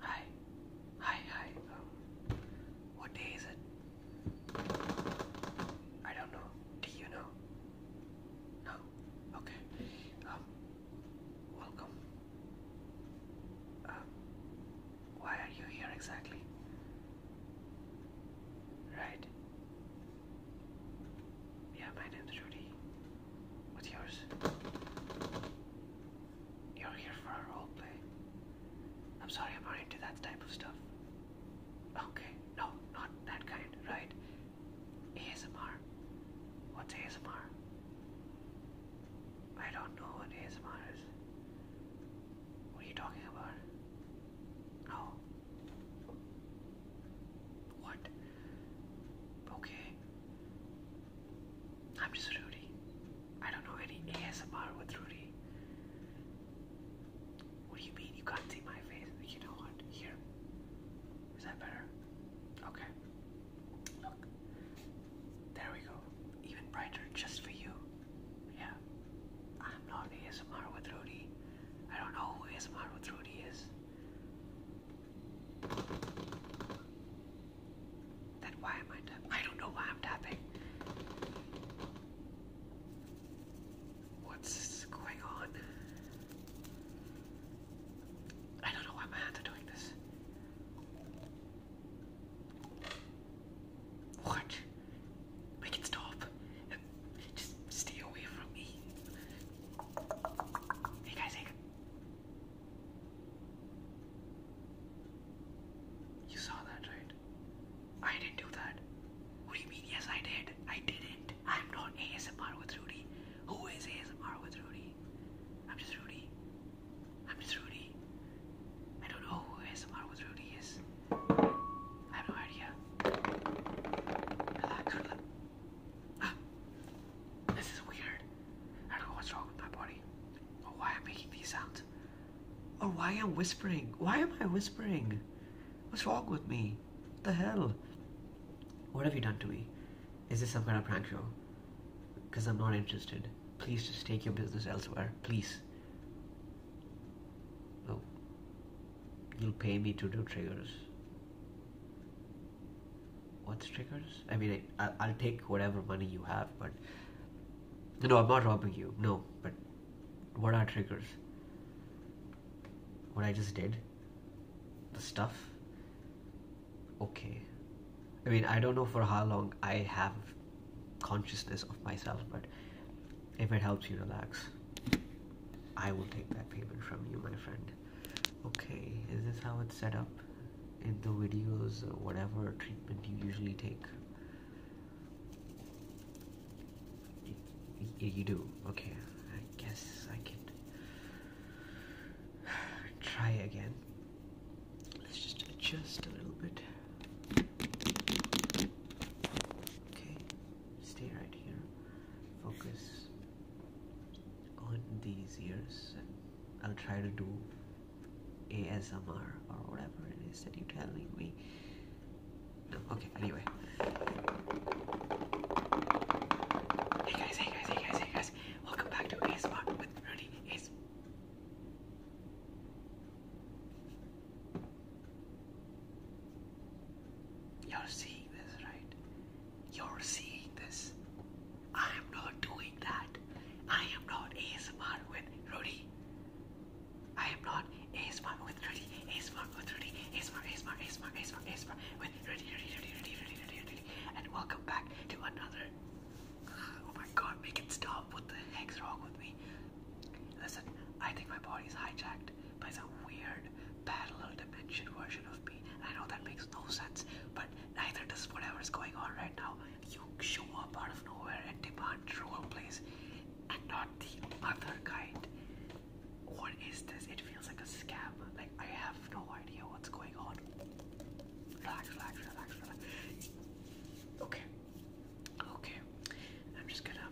Hi, hi, hi. Um, what day is it? I don't know. Do you know? No. Okay. Um, welcome. Um, why are you here exactly? Right. Yeah, my name's Rudy. What's yours? You're here for a role play. I'm sorry, I'm not into that type of stuff. Okay, no, not that kind, right? ASMR. What's ASMR? I don't know what ASMR is. What are you talking about? No. Oh. What? Okay. I'm just Rudy. I don't know any ASMR with Rudy. What do you mean you can't see my face? You know what? Here. Is that better? Okay. Look. There we go. Even brighter just for you. Yeah. I'm not ASMR with Rudy. I don't know who ASMR with Rudy is. Then why am I tapping? I don't know why I'm tapping. What's going on? I don't know why my hands are doing this. What? Make it stop. Just stay away from me. Hey guys, hey. You saw that, right? I didn't do that. What do you mean? Yes, I did. I didn't. I'm not ASMR with Rudy. Who is ASMR with Rudy? I'm just Rudy. I'm just Rudy. I don't know who ASMR with Rudy is. I have no idea. Good luck. Good Ah, this is weird. I don't know what's wrong with my body, or why I'm making these sounds, or why I'm whispering. Why am I whispering? What's wrong with me? the hell? What have you done to me? Is this some kind of prank show? Because I'm not interested. Please just take your business elsewhere. Please. No. You'll pay me to do triggers what's triggers? I mean, I, will take whatever money you have, but no, I'm not robbing you. No, but what are triggers? What I just did? The stuff? Okay. I mean, I don't know for how long I have consciousness of myself, but if it helps you relax, I will take that payment from you, my friend okay is this how it's set up in the videos whatever treatment you usually take you, you do okay i guess i can try again let's just adjust a little bit okay stay right here focus on these years and I'll try to do ASMR or whatever it is that you're telling me. No, okay, anyway. Hey guys, hey guys, hey guys, hey guys. Welcome back to ASMR with Rudy Ace. You're seeing this, right? You're seeing this. I am not doing that. I am not ASMR with Rudy. I am not ASMR with Rudy. ASMR with Rudy. ASMR, ASMR, ASMR, ASMR, ASMR with Rudy, Rudy, Rudy, Rudy, Rudy, Rudy, Rudy. And welcome back to another. Oh my god, make it stop. What the heck's wrong with me? Listen, I think my body's hijacked by some weird parallel dimension version of me. I know that makes no sense, but neither does whatever's going on right now. You show up out of nowhere and demand role plays and not the other kind. What is this? It feels like a scam. Like, I have no idea what's going on. Relax, relax, relax, relax. Okay. Okay. I'm just gonna.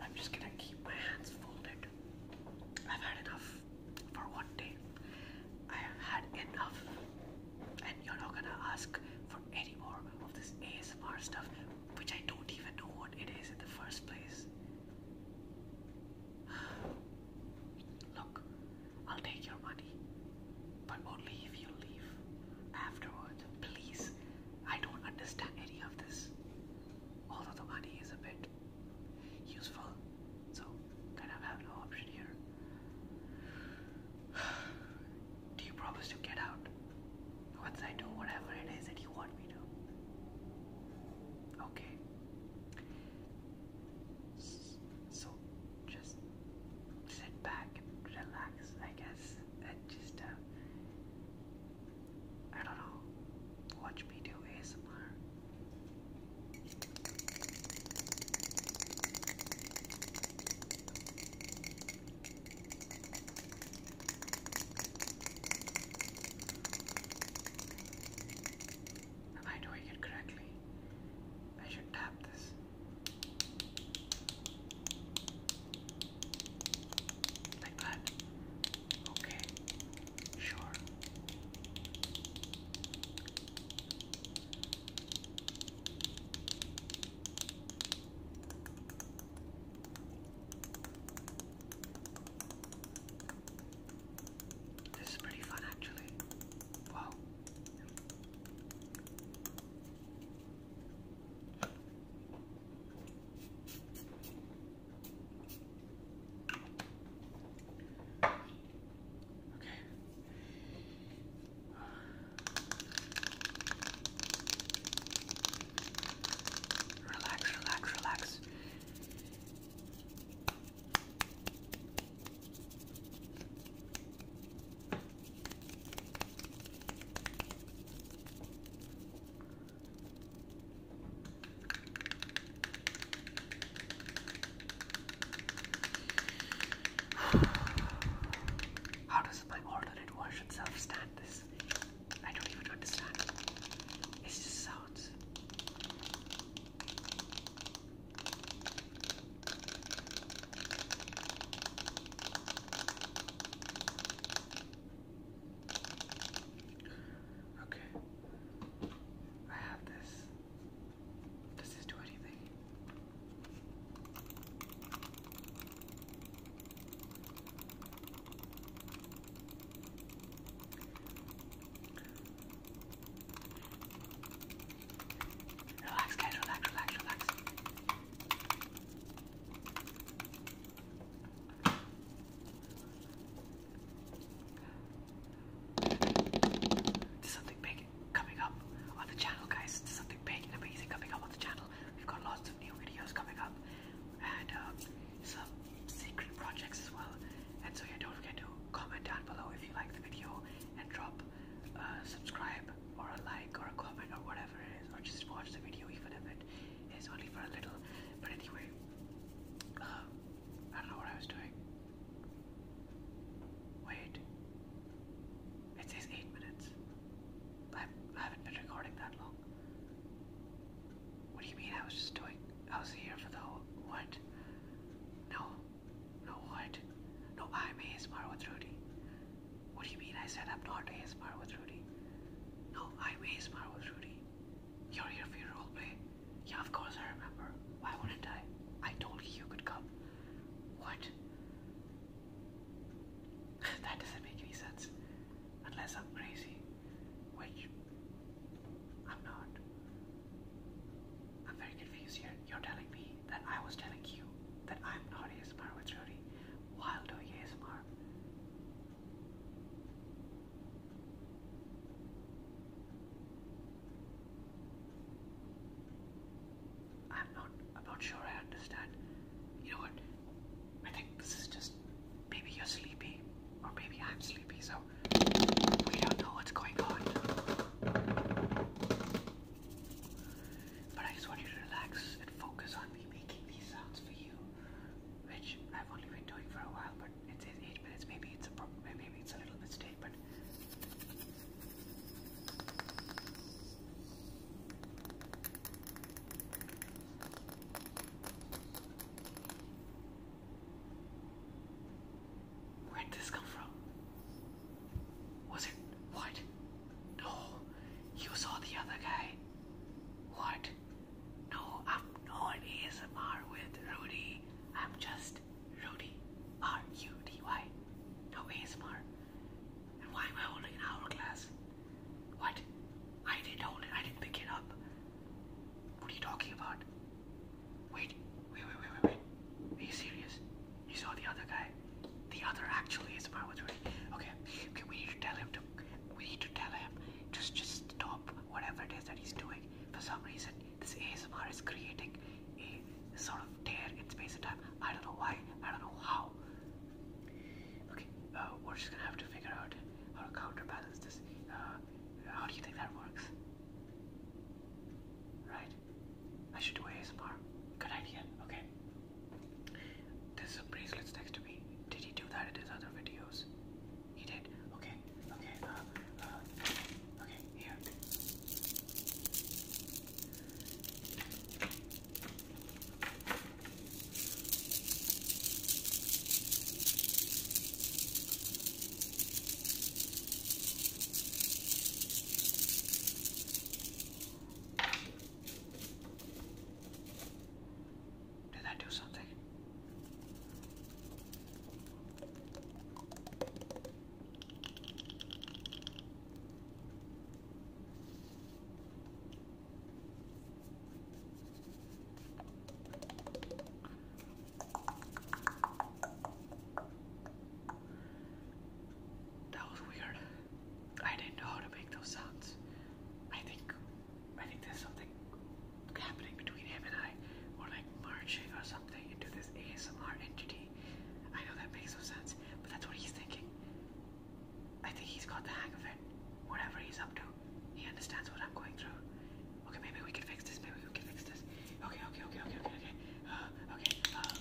I'm just gonna keep my hands folded. I've had enough for one day. I have had enough, and you're not gonna ask for any more of this ASMR stuff, which I don't even know what it is in the first place. Look, I'll take your money, but only if you leave afterward. Please, I don't understand any of this. Although the money is a bit useful. So kind of have no option here. Do you promise to get out once I do whatever it is that you want me to? Okay. So just sit back relax, I guess, and just uh, I don't know. Watch me do ASMR. Am I doing it correctly? I should tap this. Like that. Okay. Sure. This is pretty fun, actually. Wow. Okay. Relax, relax, relax. How does my alternate version self stand this? I don't even understand. It just sounds. Okay. I have this. Does this do anything? Relax, guys, relax, relax, relax. There's something big coming up on the channel, guys. There's something big and amazing coming up on the channel. We've got lots of new videos coming up and um, some secret projects as well. And so, yeah, don't forget to comment down below if you like the video and drop a subscribe or a like or a comment or whatever it is, or just watch the video even if it it's only for a little. But anyway, um, I don't know what I was doing. Wait. It says 8 minutes. I haven't been recording that long. What do you mean I was just doing? I was here for the whole. What? No. No, what? No, I'm ASMR with Rudy. What do you mean I said I'm not ASMR with Rudy? No, I'm ASMR with Rudy. You're here for your roleplay. Yeah, of course I remember. Why wouldn't I? I told you you could come. What? that doesn't make any sense. Unless I'm crazy. Which I'm not. I'm very confused here. You're telling me that I was telling you that I'm not ASMR with Rudy while doing ASMR. I'm not I'm not sure I understand. You know what? I think this is just maybe you're sleepy or maybe I'm sleepy, so we don't know what's going on. But I just want you to relax and focus on me making these sounds for you which I've only been doing for a while, but it says eight minutes. Maybe it's a maybe it's a little mistake, but where'd this come from? Was it what? No, you saw the other guy. What? No, I'm not ASMR with Rudy. I'm just Rudy. R U D Y. No ASMR. And why am I holding an hourglass? What? I didn't hold it. I didn't pick it up. What are you talking about? Wait, wait, wait, wait, wait, Are you serious? You saw the other guy? The other actual ASMR was Rudy. Okay, okay, we tell him we need to tell him just just stop whatever it is that he's doing. For some reason, this ASMR is creating a sort of tear in space and time. I don't know why. I don't know how. Okay, uh, we're just gonna have to figure out how to counterbalance this. Uh, how do you think that works? Right? I should do ASMR. Good idea. Okay. There's a bracelet next to me. Did he do that in his other videos? He did. Okay. Okay. Uh, uh, okay. Here. Did I do something? That was weird. I didn't know how to make those sounds. I think I think there's something happening between him and I. We're like merging or something into this ASMR entity. I know that makes no sense, but that's what he's thinking. I think he's got the hang of it. Whatever he's up to, he understands what I'm going through. Okay, maybe we can fix this. Maybe we can fix this. Okay, okay, okay, okay, okay, okay. Uh, okay. Uh,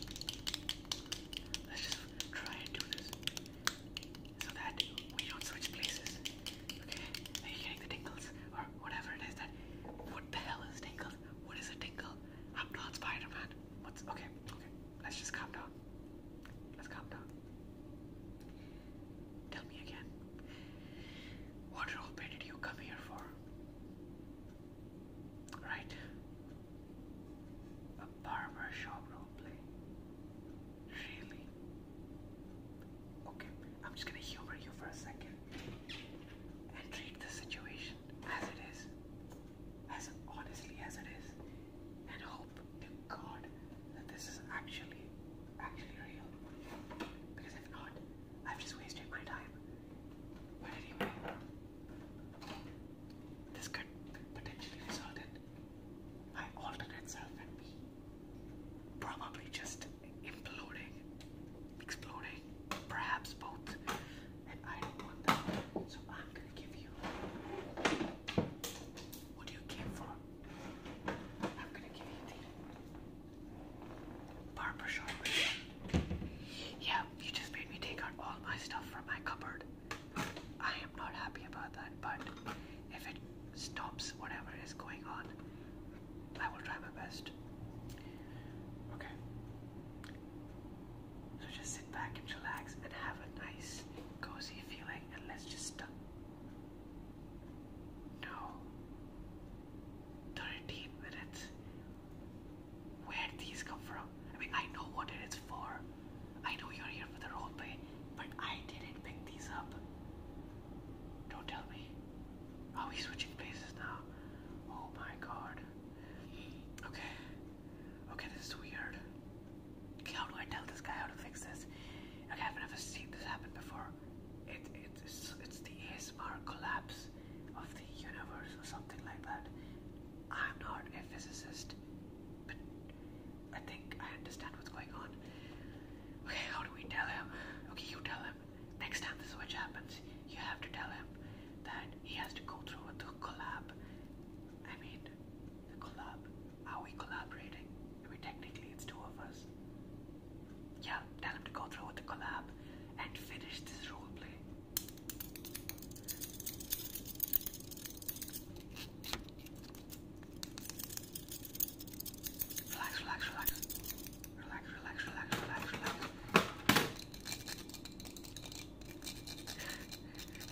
let's just try and do this so that we don't switch places. Okay? Are you getting the tingles? Or whatever it is that. What the hell is tingles? What is a tingle? I'm not Spider What's. Okay, okay. Let's just calm down. Let's calm down. Tell me again. What roleplay you come here for? Right? A barber shop role Really? Okay, I'm just gonna humor you for a second and treat the situation as it is, as honestly as it is, and hope to God that this is actually, actually real. Because if not, I've just wasted my time. But anyway, this could potentially result in my alternate self and me probably just imploding, exploding, perhaps both, and I want that. So I'm gonna give you what you came for. I'm gonna give you the barbershop. Yeah, you just made me take out all my stuff from my cupboard. I am not happy about that, but if it stops whatever is going on, I will try my best. Okay. So just sit back and relax and have a nice, cozy feeling, and let's just. No. 13 minutes. Where did these come from? I mean, I know what it is for. I know you're here for the roleplay, but I didn't pick these up. Don't tell me. Are we switching places now? Oh my god. Okay. Okay, this is weird. Okay, how do I tell this guy how to fix this? Okay, I've never seen this happen before. It, it, it's, the ASMR collapse of the universe or something like that. I'm not a physicist but I think I understand what's going on. Okay, how do we tell him? Okay, you tell him. Next time the switch happens, you have to tell him that he has to go through with the collab. I mean, the collab. Are we collaborating? I technically, it's two of us. Yeah, tell him to go through with the collab and finish this role play. Relax, relax, relax. Relax, relax, relax, relax, relax.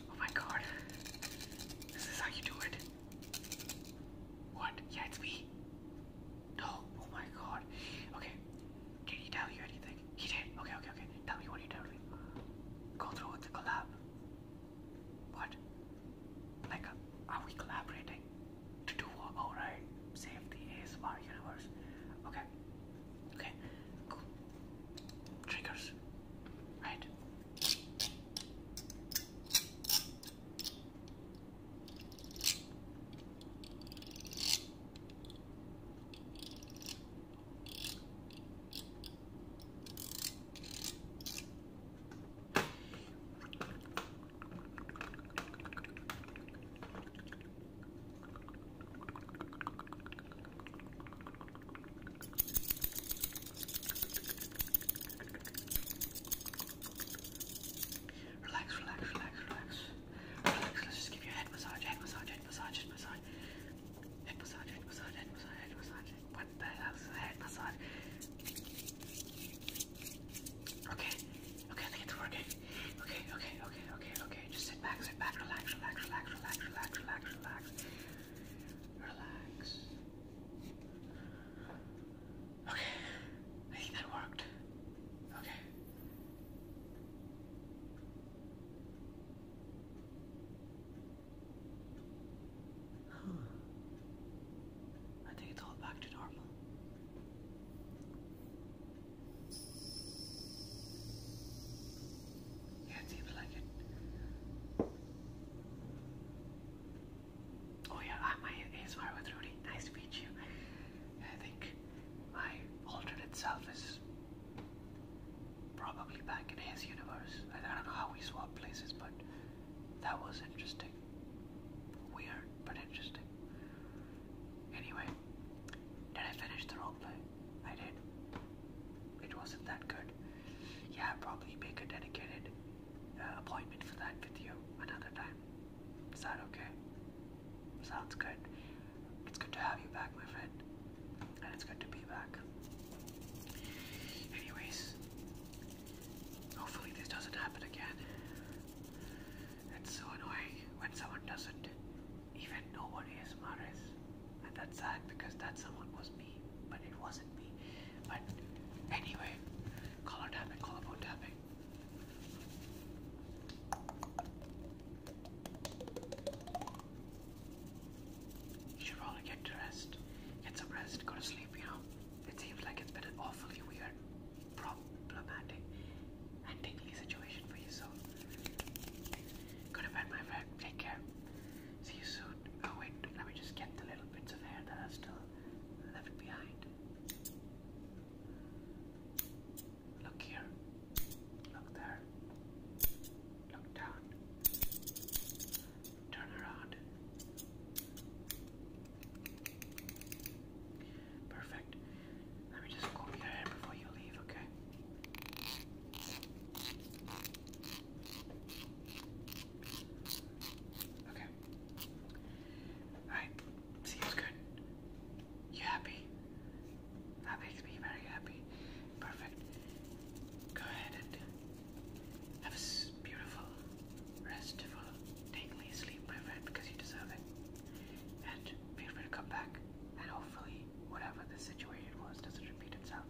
oh my god. This is how you do it. What? Yeah, it's me. No. Oh my god. Okay. Can he tell you anything? He did. Okay, okay, okay. Tell me what he did. Go through with the collab. What? Like, uh, are we collaborating to do what? Oh, right. Save the universe. Okay. Okay. Cool. Triggers. Right. Relax, relax, relax, relax. Relax, let's just give you a head massage, head massage, head massage, head massage. Head massage, head massage, head massage, head massage. What the hell is a head massage? Okay, okay, I think it's working. Okay, okay, okay, okay, okay. Just sit back, sit back, relax, relax, relax, relax, relax, relax, relax. Relax. Okay, I think that worked. Okay. I think it's all back to normal. Yeah, seems like it. Oh yeah, I'm ah, ASMR with Rudy. Nice to meet you. I think my alternate self is probably back in his universe. I, don't know how we swapped places, but that was interesting. Weird, but interesting. Anyway, did I finish the role play? I did. It wasn't that good. Yeah, i probably make a dedicated uh, appointment for that with you another time. Is that okay? Sounds good. It's good to have you back, my friend. And it's good to be back. Anyways, hopefully this doesn't happen again. It's so annoying when someone doesn't even know what ASMR is. And that's sad because that someone was me, but it wasn't me. But anyway, color tapping, you should all get to rest. Get some rest. Go to sleep, you know. It seems like it's been an awfully weird, problematic, and tingly situation for you, so. Go to bed, my friend. Take care. See you soon. Oh, wait. Let me just get the little bits of hair that are still left behind. Look here. Look there. Look down. Turn around. Perfect. Let me just comb your hair before you leave, okay? Okay. Alright, seems good. You happy? That makes me very happy. Perfect. Go ahead and have a beautiful, restful, tingly sleep, my friend, because you deserve it. And feel free to come back, and hopefully, whatever the situation was doesn't repeat itself.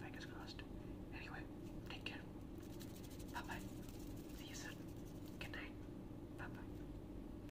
Fingers crossed. Anyway, take care. Bye bye. See you soon. Good night. Bye bye.